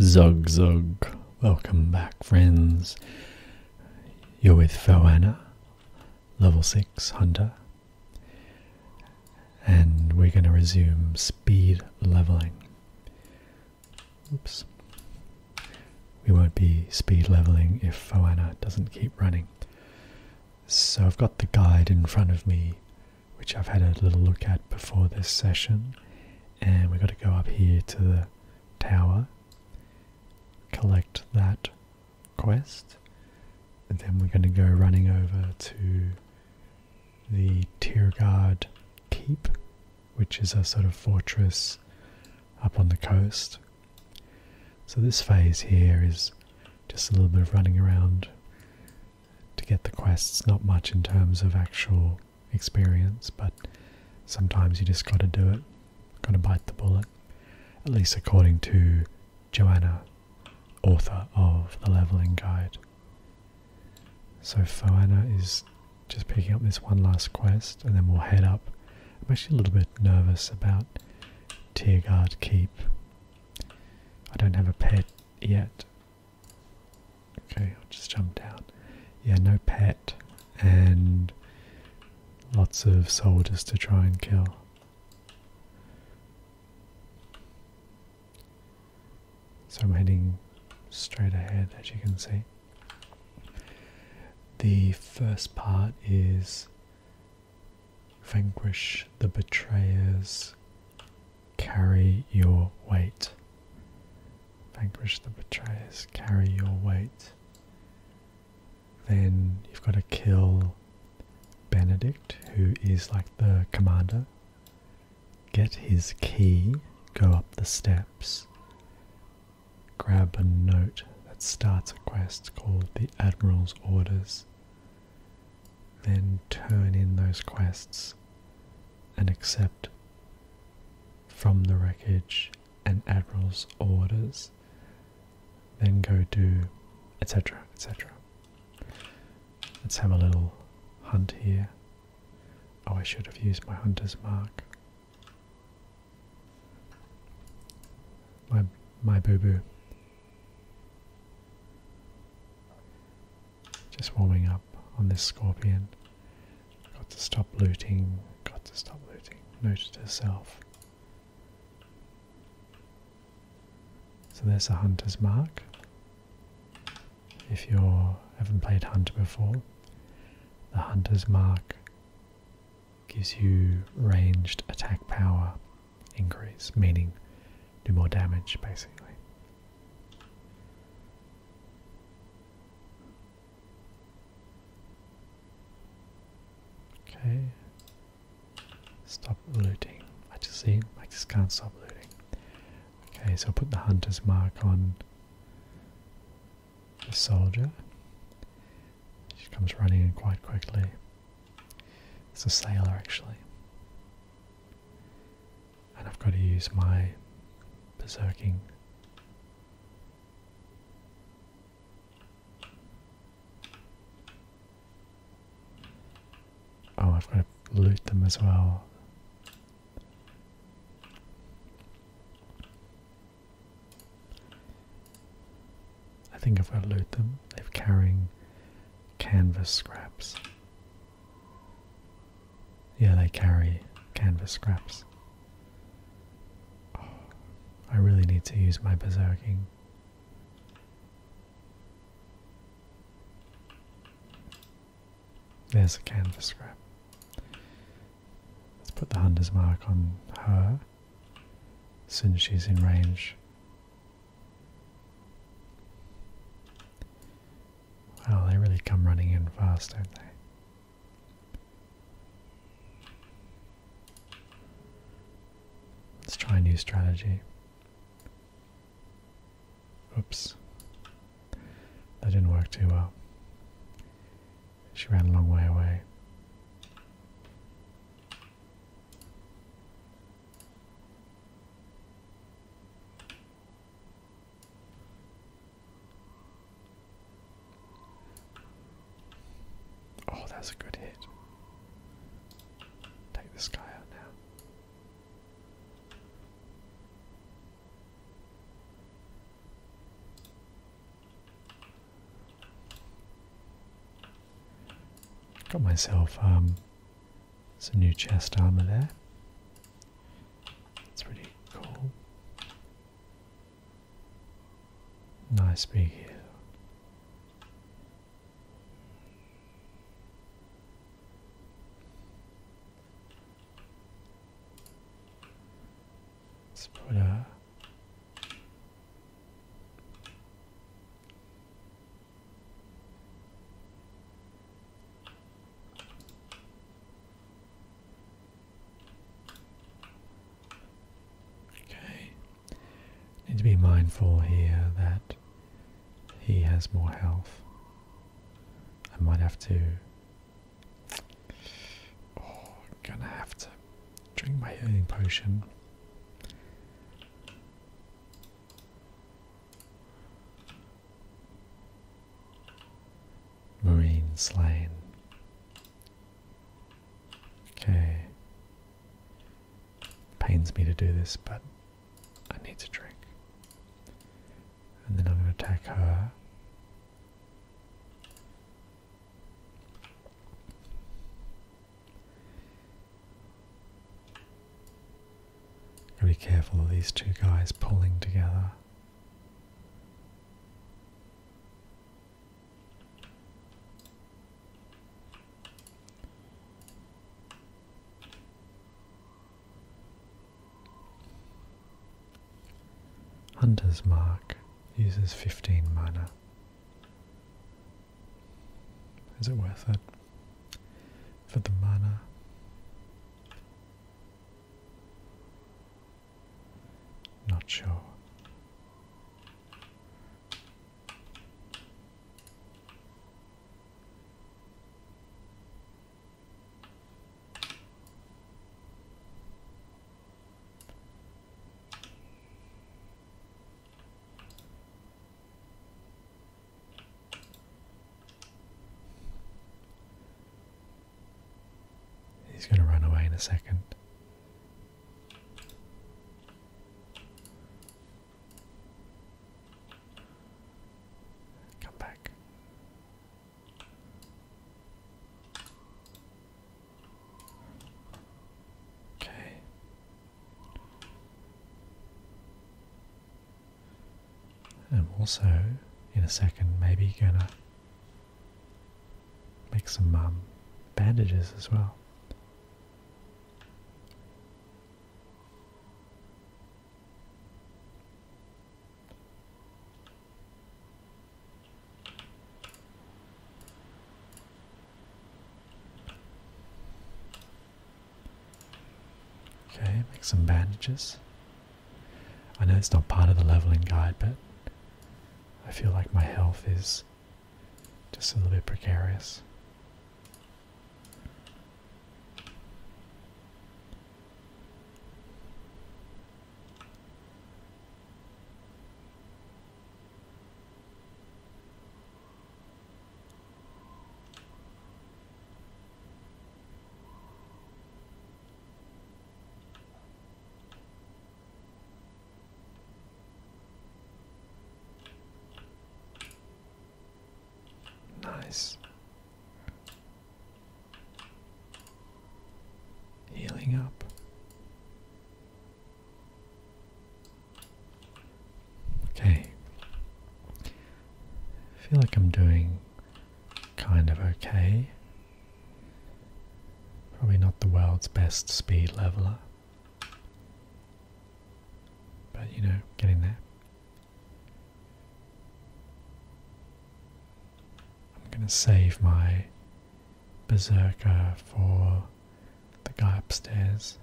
Zug Zug, welcome back, friends. You're with Foanna, level 6 hunter, and we're going to resume speed leveling. Oops, we won't be speed leveling if Foanna doesn't keep running. So I've got the guide in front of me which I've had a little look at before this session. And we've got to go up here to the tower, collect that quest, and then we're going to go running over to the Tirgard Keep, which is a sort of fortress up on the coast. So this phase here is just a little bit of running around, to get the quests, not much in terms of actual experience, but sometimes you just got to do it, got to bite the bullet. At least according to Joanna, author of The Leveling Guide. So Foana is just picking up this one last quest and then we'll head up. I'm actually a little bit nervous about Tearguard Keep. I don't have a pet yet, Okay, I'll just jump down. Yeah, no pet and lots of soldiers to try and kill. So I'm heading straight ahead as you can see. The first part is vanquish the betrayers carry your weight. Vanquish the betrayers, carry your weight. Then you've got to kill Benedict, who is like the commander. Get his key, go up the steps, grab a note that starts a quest called the Admiral's Orders then turn in those quests and accept from the wreckage an admiral's orders, then go do etc. etc. Let's have a little hunt here. Oh, I should have used my hunter's mark. My my boo boo. Just warming up on this scorpion. Got to stop looting. Got to stop looting. Note to self. So there's a hunter's mark. If you haven't played hunter before, the hunter's mark gives you ranged attack power increase, meaning do more damage basically. Okay. Stop looting. I just see I just can't stop looting. Okay, so I'll put the hunter's mark on the soldier. She comes running in quite quickly. It's a sailor actually and I've got to use my berserking. Oh, I've got to loot them as well. I think I've got to loot them. They're carrying canvas scraps. Yeah, they carry canvas scraps. Oh, I really need to use my berserking. There's a canvas scrap. Let's put the hunter's mark on her as soon she's in range. Wow, oh, they really come running in fast, don't they? Let's try a new strategy. Oops. That didn't work too well. She ran a long way away. Oh, that's a good hit. Take this guy out now. Got myself um, there's a new chest armor there. That's pretty cool. Nice big hill. let Okay. Need to be mindful here that he has more health. I might have to. Oh, gonna have to drink my healing potion. Marine slain. Okay. Pains me to do this, but I need to drink. And then I'm going to attack her be careful of these two guys pulling together. Hunter's Mark uses 15 mana. Is it worth it? for the mana. Not sure. He's going to run away in a second. Come back. Okay. And also in a second maybe gonna make some um, bandages as well. Okay, make some bandages. I know it's not part of the leveling guide, but I feel like my health is just a little bit precarious. Nice. Healing up. Okay. I feel like I'm doing kind of okay. Probably not the world's best speed leveler. But you know, getting there. I'm going to save my berserker for the guy upstairs.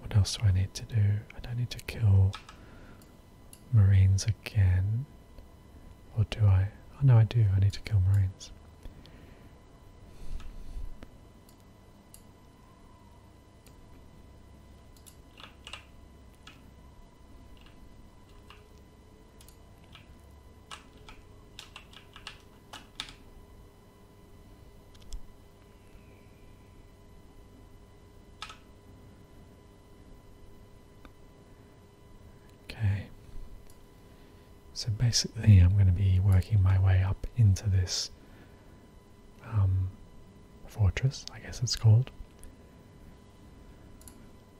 What else do I need to do? I don't need to kill Marines again. Or do I? Oh no, I do. I need to kill Marines. Okay, so basically, I'm going to be working my way up into this um, fortress, I guess it's called.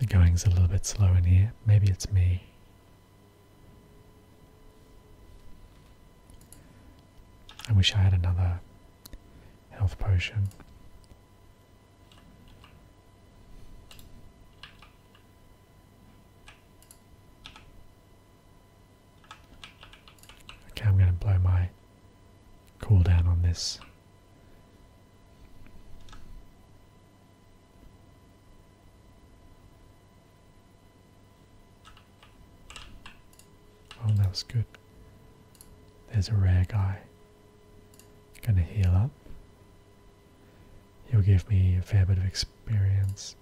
The going's a little bit slow in here. Maybe it's me. I wish I had another health potion. Okay, I'm going to blow my cooldown on this. Oh, that was good. There's a rare guy. Gonna heal up. He'll give me a fair bit of experience.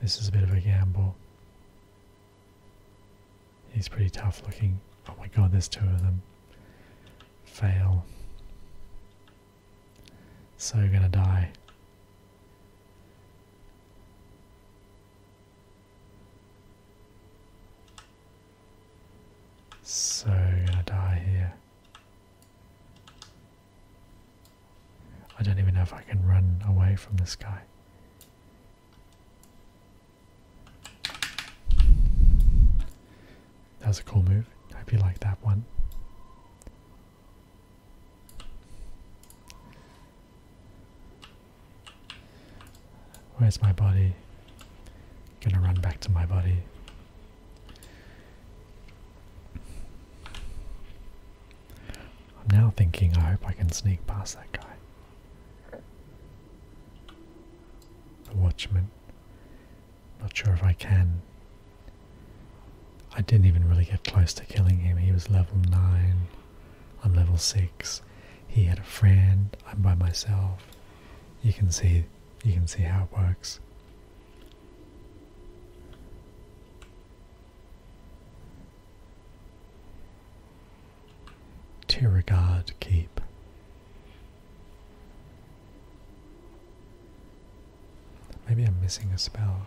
This is a bit of a gamble. He's pretty tough looking. Oh my god, there's two of them. Fail. So gonna die. So gonna die here. I don't even know if I can run away from this guy. That was a cool move. Hope you like that one. Where's my body? Gonna run back to my body. I'm now thinking, I hope I can sneak past that guy. The watchman. Not sure if I can. I didn't even really get close to killing him. He was level 9. I'm level 6. He had a friend. I'm by myself. You can see you can see how it works. Tiragod Keep. Maybe I'm missing a spell.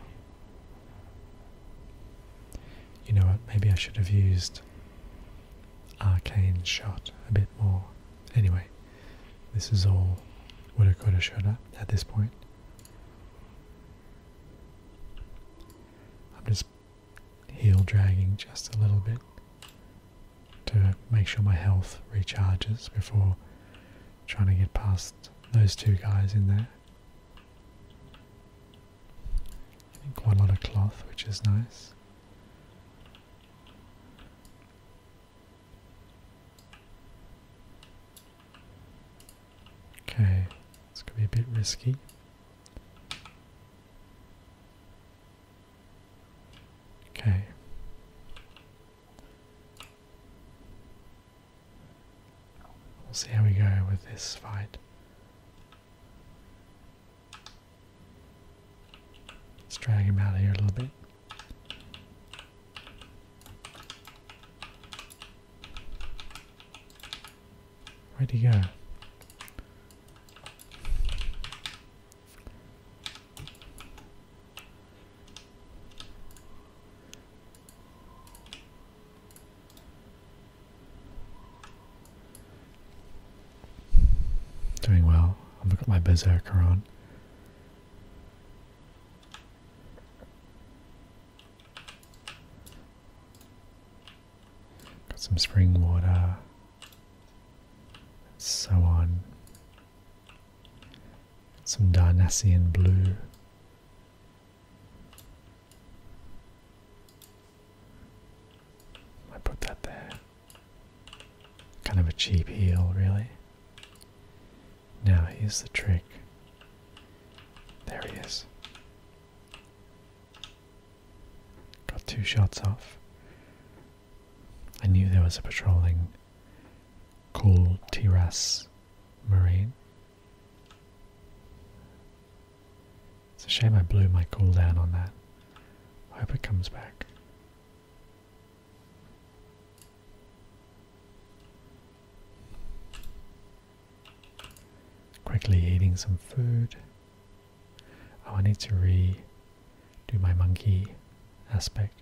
You know what? Maybe I should have used Arcane Shot a bit more. Anyway, this is all What have coulda, shoulda at this point. I'm just heel dragging just a little bit to make sure my health recharges before trying to get past those two guys in there. Getting quite a lot of cloth, which is nice. Okay, it's going to be a bit risky. Okay. We'll see how we go with this fight. Let's drag him out of here a little bit. Ready go? Doing well. I've got my berserker on. Got some spring water, so on. Some Darnassian blue. I put that there. Kind of a cheap heel, really. Now, here's the trick. There he is. Got two shots off. I knew there was a patrolling cool Tiras Marine. It's a shame I blew my cool down on that. hope it comes back. Quickly eating some food. Oh, I need to redo my monkey aspect.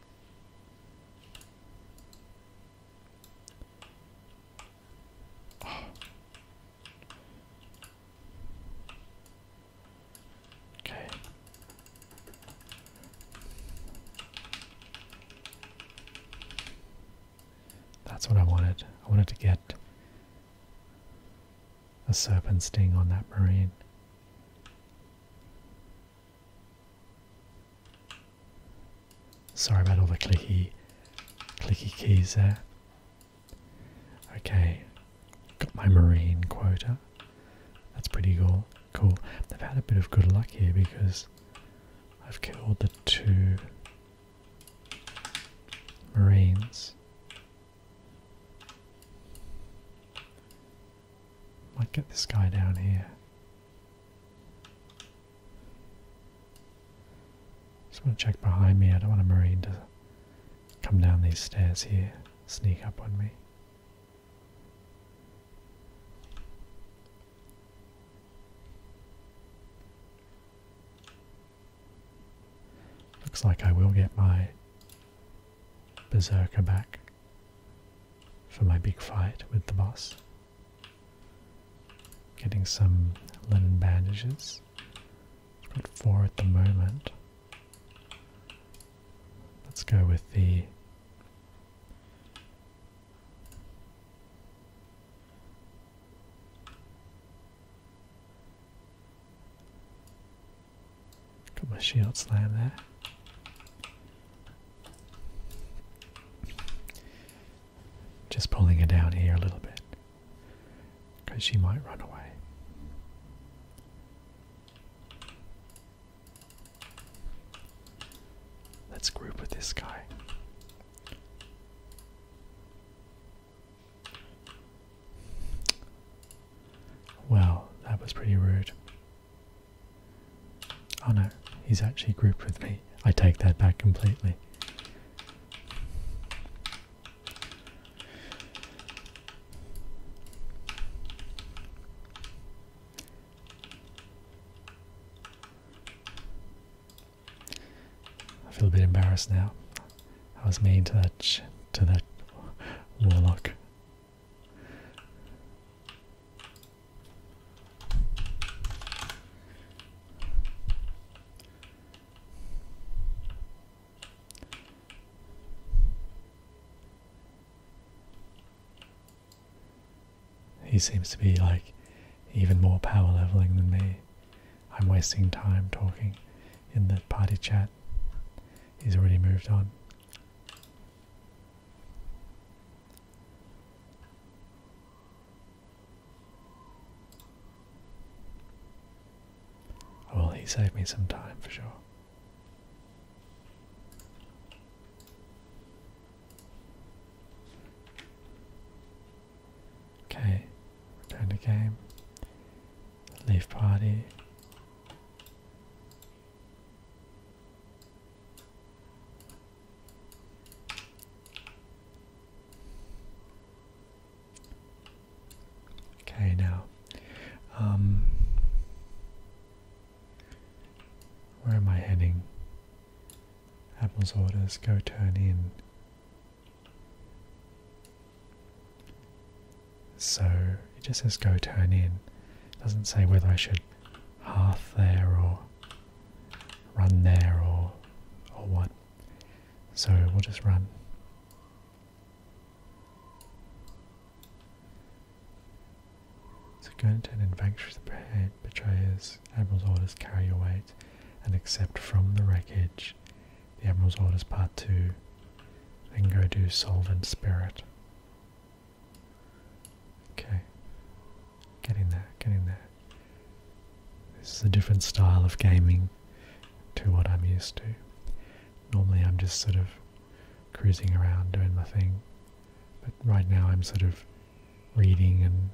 Okay. That's what I wanted. I wanted to get a serpent sting on that marine. Sorry about all the clicky, clicky keys there. Okay, got my marine quota. That's pretty cool. Cool. They've had a bit of good luck here because I've killed the two Marines. Might get this guy down here. Just want to check behind me. I don't want a Marine to come down these stairs here, sneak up on me. Looks like I will get my Berserker back for my big fight with the boss. Getting some linen bandages. I've got four at the moment. Let's go with the Got my shield slam there. Just pulling her down here a little bit because she might run away. Let's group with this guy. Well, that was pretty rude. Oh no, he's actually grouped with me. I take that back completely. I feel a bit embarrassed now. I was mean to that to that warlock. He seems to be like even more power leveling than me. I'm wasting time talking in the party chat. He's already moved on. Well, he saved me some time for sure. Okay, return to game. Leave party. Okay, now, um, where am I heading? Admiral's orders, go turn in. So it just says go turn in. doesn't say whether I should half there or run there or or what. So we'll just run. So go turn in vanquish the betrayers. Admiral's orders carry your weight and accept from the wreckage the Admiral's orders part 2. Then go do solvent spirit. Okay. Getting there, getting there. This is a different style of gaming to what I'm used to. Normally I'm just sort of cruising around doing my thing. But right now I'm sort of reading and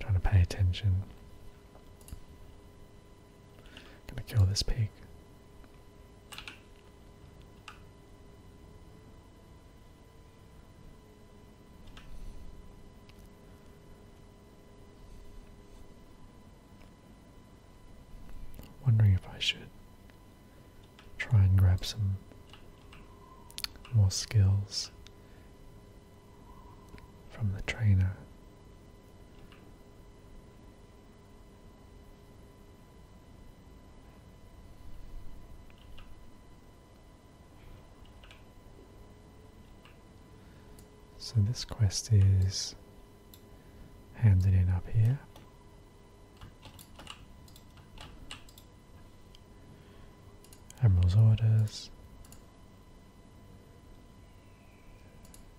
trying to pay attention. Gonna kill this pig. Wondering if I should try and grab some more skills from the trainer. So this quest is handed in up here. Admiral's orders.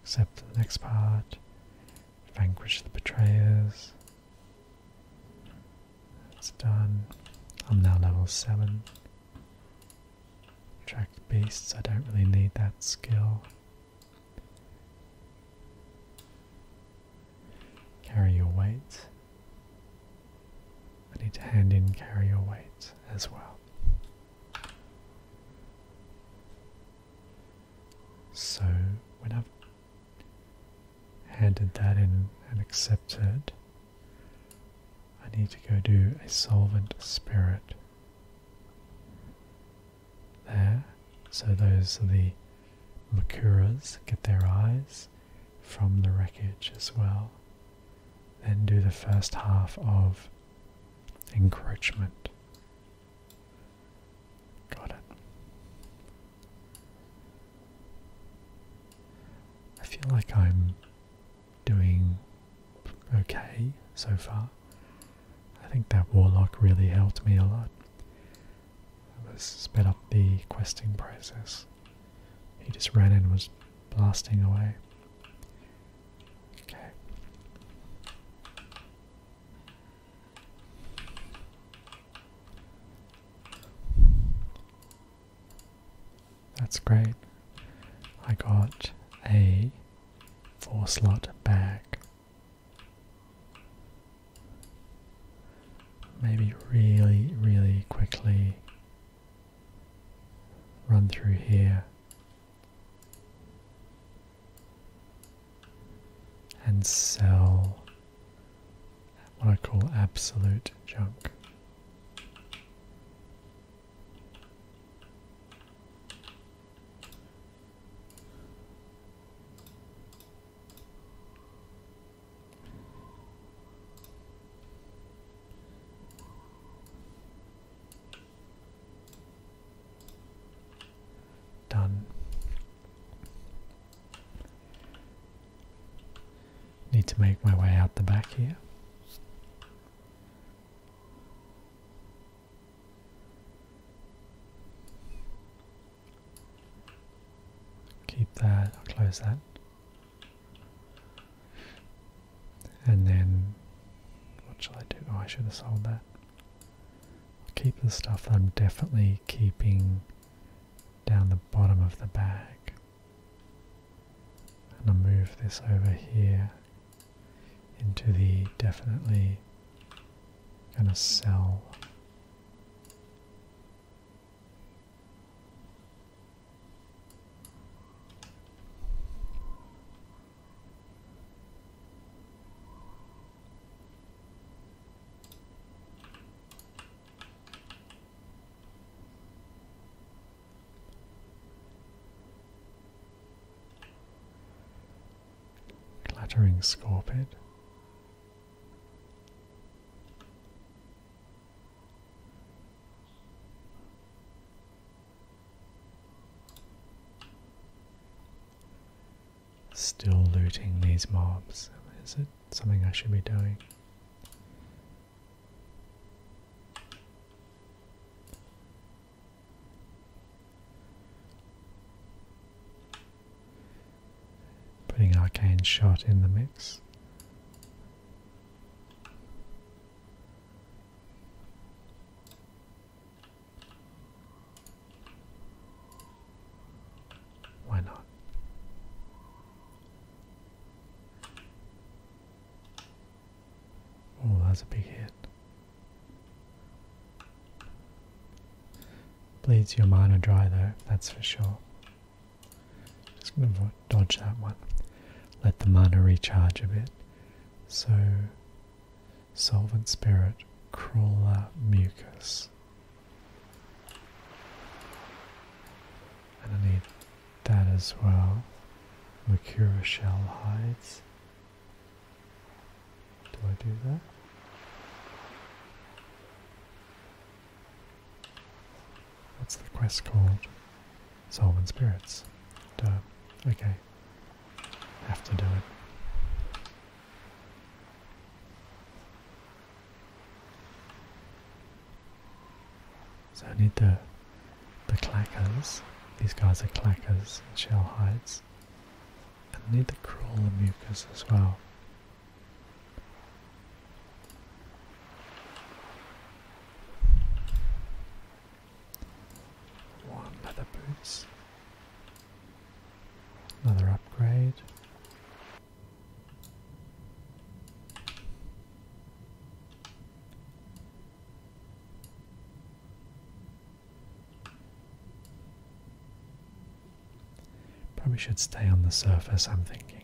Accept the next part. Vanquish the betrayers. It's done. I'm now level 7. Attract beasts, I don't really need that skill. Carry your weight. I need to hand in carry your weight as well. So when I've handed that in and accepted, I need to go do a solvent spirit there. So those are the Makuras get their eyes from the wreckage as well. Then do the first half of encroachment. Got it. I feel like I'm doing okay so far. I think that warlock really helped me a lot. It was sped up the questing process. He just ran and was blasting away. Okay. That's great. I got a four slot back. Maybe really, really quickly run through here and sell what I call absolute junk. Done. Need to make my way out the back here. Keep that, I'll close that. And then, what shall I do? Oh, I should have sold that. I'll keep the stuff I'm definitely keeping down the bottom of the bag. And I'll move this over here into the definitely gonna sell Clattering scorpion. Still looting these mobs. Is it something I should be doing? Putting arcane shot in the mix. Why not? Oh, that's a big hit. Bleeds your mind dry though, that's for sure. Just going to dodge that one. Let the mana recharge a bit. So, Solvent Spirit, Crawler, Mucus. And I need that as well. Mercura Shell Hides. Do I do that? What's the quest called? Soul Spirits. Okay. Have to do it. So I need the the clackers. These guys are clackers and shell hides. And I need the and mucus as well. One leather boots. Another upgrade. Probably should stay on the surface, I'm thinking.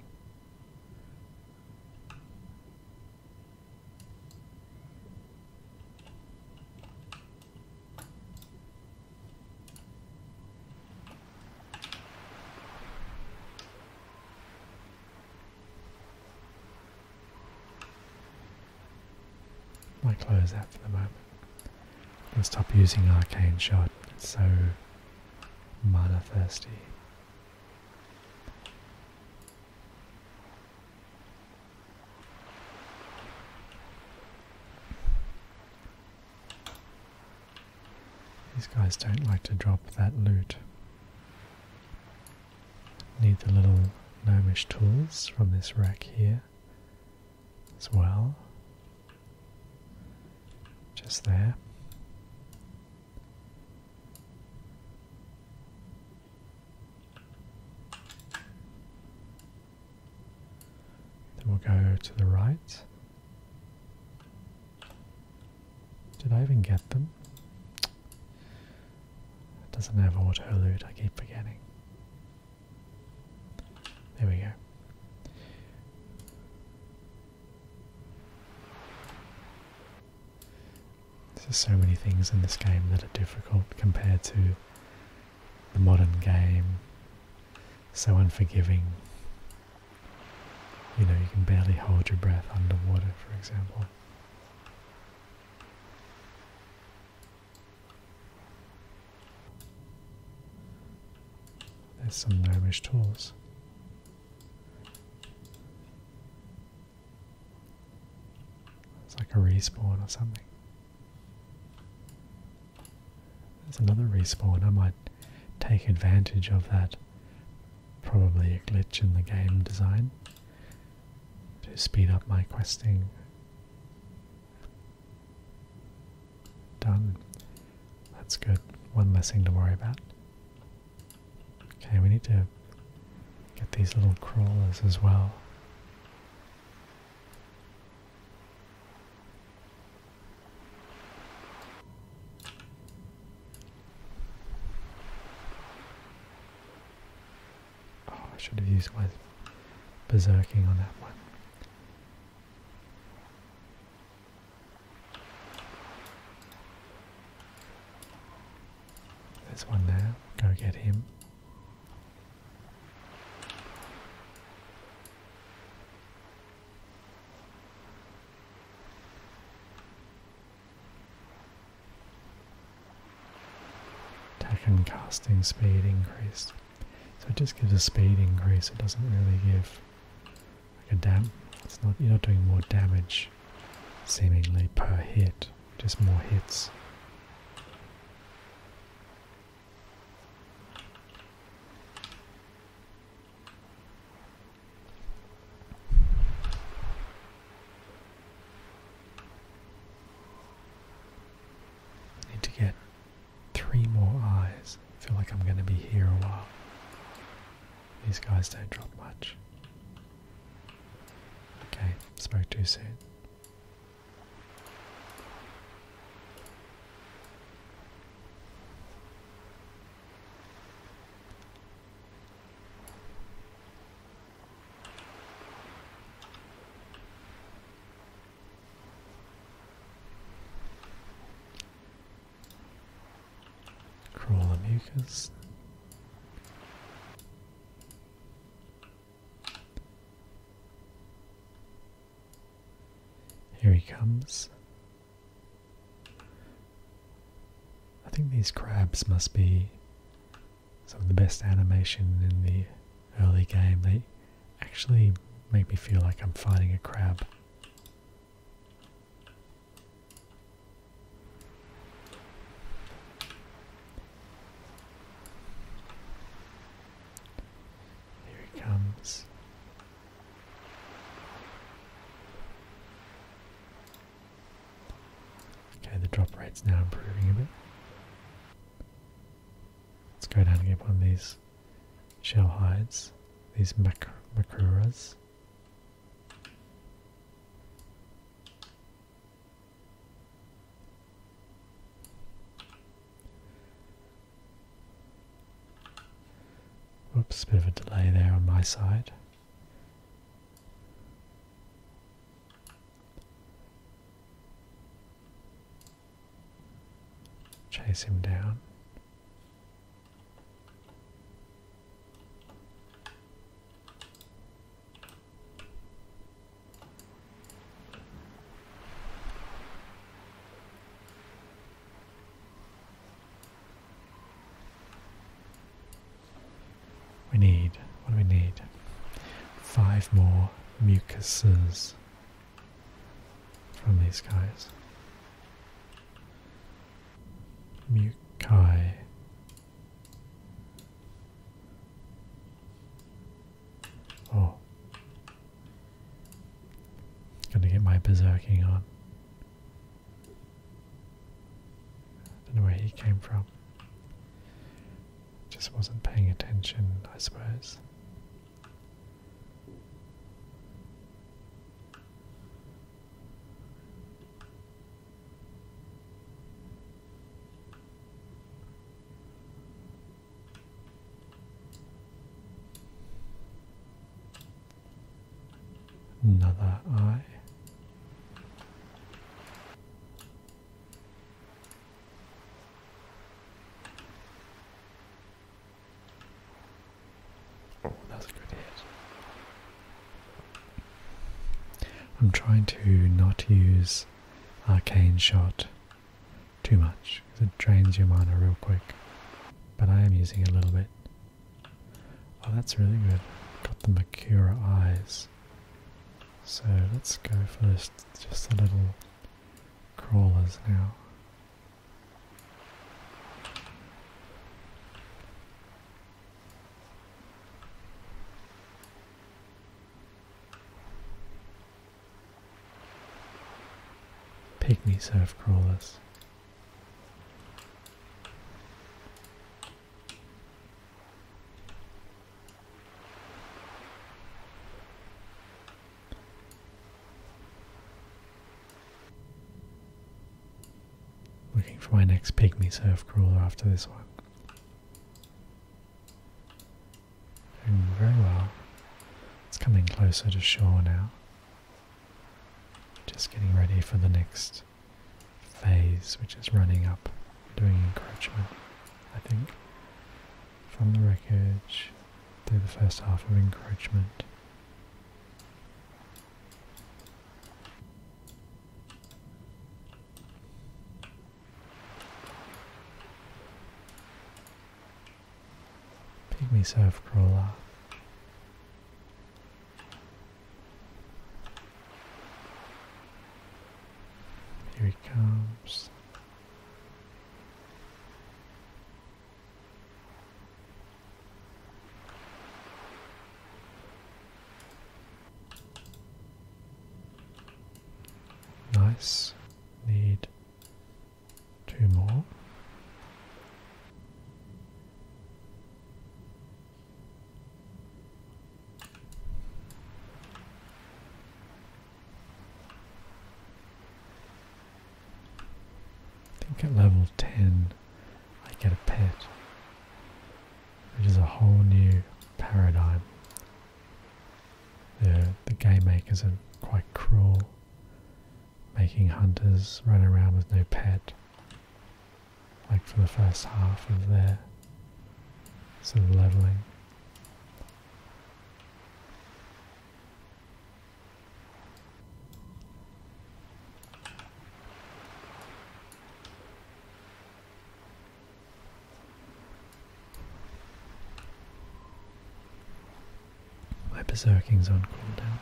I close that for the moment. i stop using Arcane Shot. It's so mana thirsty. These guys don't like to drop that loot. Need the little gnomish tools from this rack here as well. Just there. Then we'll go to the right. Did I even get them? It doesn't have auto loot, I keep forgetting. There we go. There's so many things in this game that are difficult compared to the modern game. So unforgiving. You know, you can barely hold your breath underwater, for example. There's some gnomish tools. It's like a respawn or something. There's another respawn. I might take advantage of that. Probably a glitch in the game design to speed up my questing. Done. That's good. One less thing to worry about. Okay, we need to get these little crawlers as well. Oh, I should have used my berserking on that one. There's one there. Go get him. Attack and casting speed increase. So it just gives a speed increase, it doesn't really give like a dam it's not you're not doing more damage seemingly per hit, just more hits. Need to get three more eyes. I feel like I'm going to be here a while. These guys don't drop much. Okay, spoke too soon. Crawl the mucus. Here he comes. I think these crabs must be some of the best animation in the early game. They actually make me feel like I'm fighting a crab. Here he comes. Okay, the drop rate's now improving a bit. Let's go down and get one of these shell hides, these macruras. Oops, bit of a delay there on my side. Chase him down. We need, what do we need? Five more mucuses from these guys. Mukai. Oh. Gonna get my berserking on. Don't know where he came from. Just wasn't paying attention, I suppose. Another eye. Oh, that's a good hit. I'm trying to not use arcane shot too much because it drains your mana real quick. But I am using it a little bit. Oh, that's really good. Got the Makura eyes. So let's go for just, just the little crawlers now. Pygmy surf crawlers. Looking for my next pygmy surf crawler after this one. Doing very well. It's coming closer to shore now. Just getting ready for the next phase, which is running up, doing encroachment, I think. From the wreckage, through the first half of encroachment. Pygmy Surf Crawler. Here he comes. Nice. Need two more. think at level 10 I get a pet, which is a whole new paradigm. The, the game makers are quite cruel, making hunters run around with no pet, like for the first half of their sort of leveling. My berserking's on cooldown.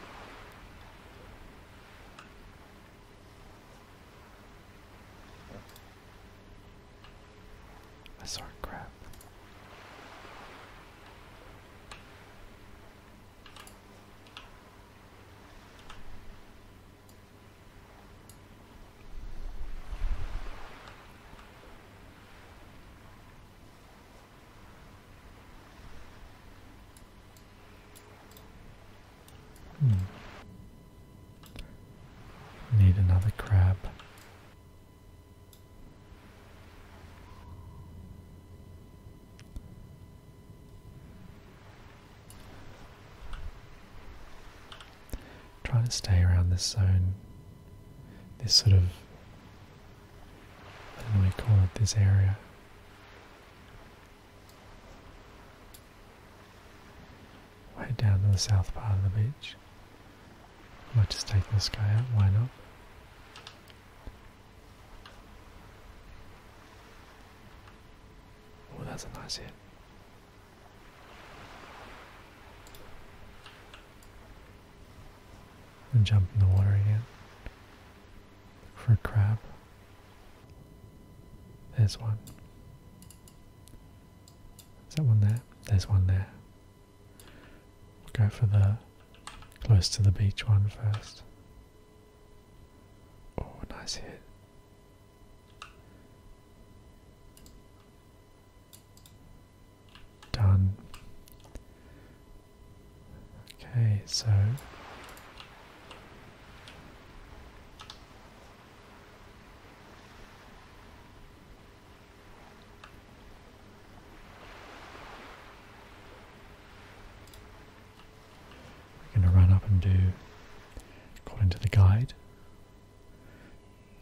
I saw a Hmm. Need another crab. Try to stay around this zone, this sort of, I don't know what you call it, this area. Way down to the south part of the beach. I might just take this guy out, why not? Oh, that's a nice hit. And jump in the water again for a crab. There's one. Is that one there? There's one there. We'll go for the close to the beach one first. Oh, nice hit. Done. Okay, so. We're going to run up and do, according to the guide.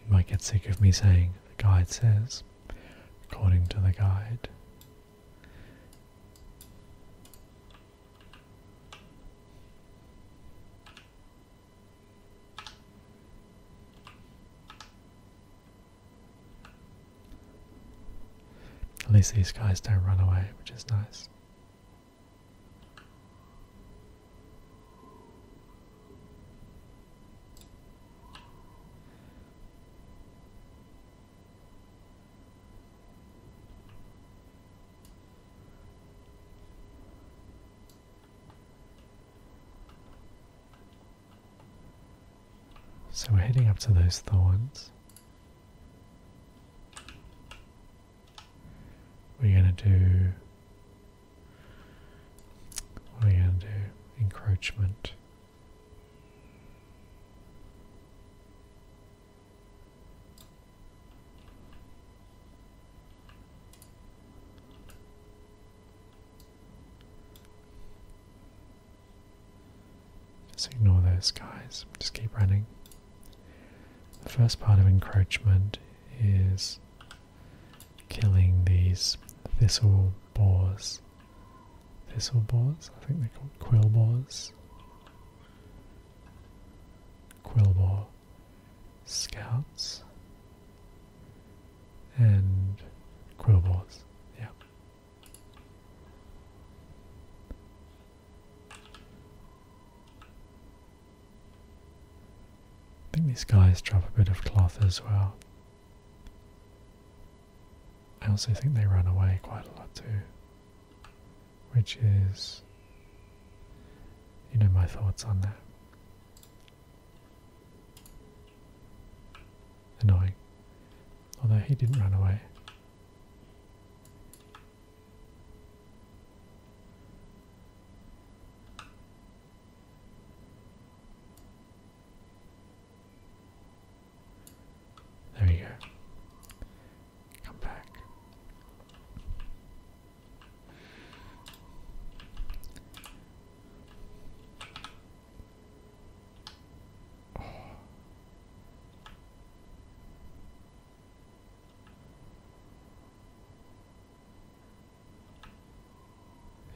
You might get sick of me saying, the guide says, according to the guide. At least these guys don't run away, which is nice. So we're heading up to those thorns. We're going to do. What are we going to do? Encroachment. Just ignore those guys, just keep running. The first part of encroachment is killing these thistle boars. Thistle boars? I think they're called quill boars. Quill boar scouts and quill boars. Yeah. I think these guys drop a bit of cloth as well. I also think they run away quite a lot too, which is, you know, my thoughts on that. Annoying. Although he didn't run away. There we go. Come back.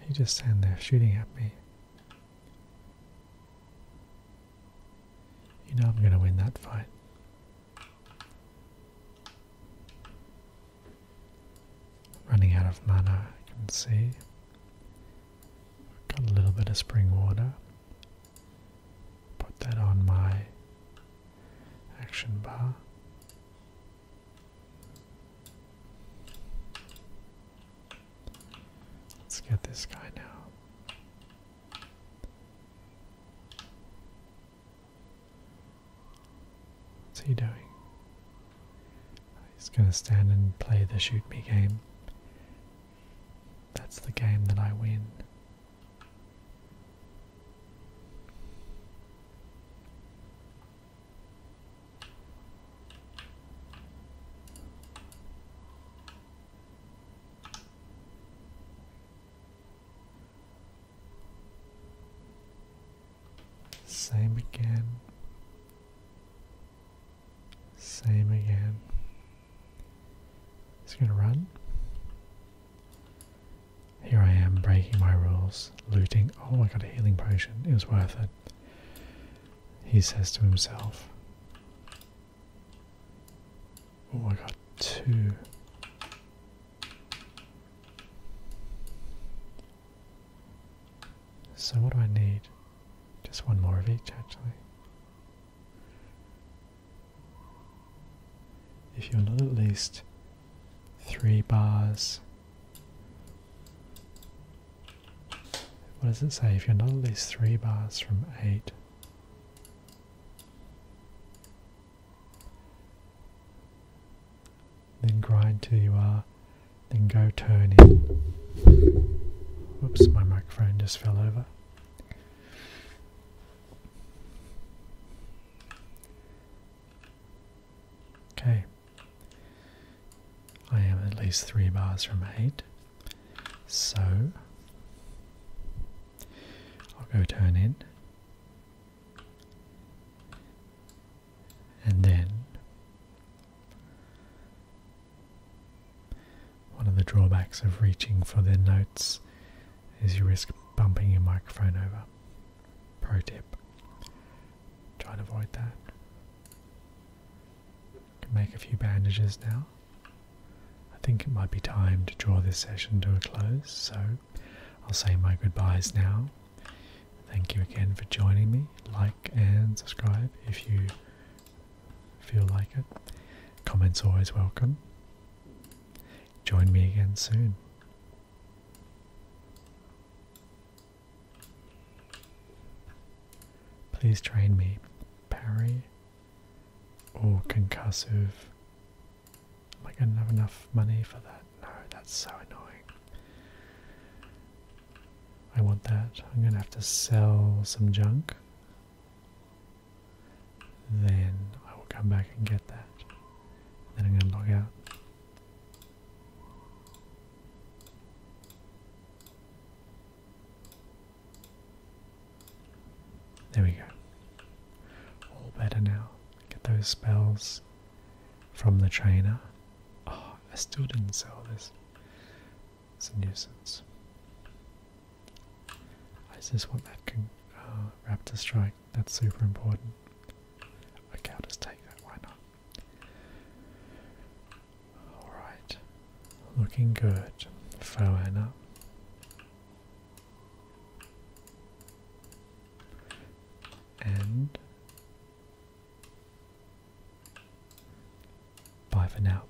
He just stand there shooting at me. You know I'm going to win that fight. Running out of mana, I can see. Got a little bit of spring water put that on my action bar. Let's get this guy now. What's he doing? He's going to stand and play the shoot me game. That's the game that I win. Same again. Same again. It's going to run. Here I am breaking my rules, looting. Oh, my god, a healing potion. It was worth it. He says to himself. Oh, I got two. So, what do I need? Just one more of each, actually. If you're not at least three bars, what does it say? If you're not at least three bars from eight, then grind till you are, then go turn in. Whoops, my microphone just fell over. Okay. I am at least three bars from eight. So I'll go turn in. And then one of the drawbacks of reaching for the notes is you risk bumping your microphone over. Pro tip. Try and avoid that. Can make a few bandages now. I think it might be time to draw this session to a close, so I'll say my goodbyes now. Thank you again for joining me. Like and subscribe if you if you like it. Comments always welcome. Join me again soon. Please train me. Parry or concussive. Am I going to have enough money for that? No, that's so annoying. I want that. I'm going to have to sell some junk then I will come back and get that. Then I'm going to log out. There we go. All better now. Get those spells from the trainer. Oh, I still didn't sell this. It's a nuisance. Is this what that can, uh, raptor strike? That's super important. Okay, I'll just take that, why not? Alright. Looking good, Foana. And... Bye for now.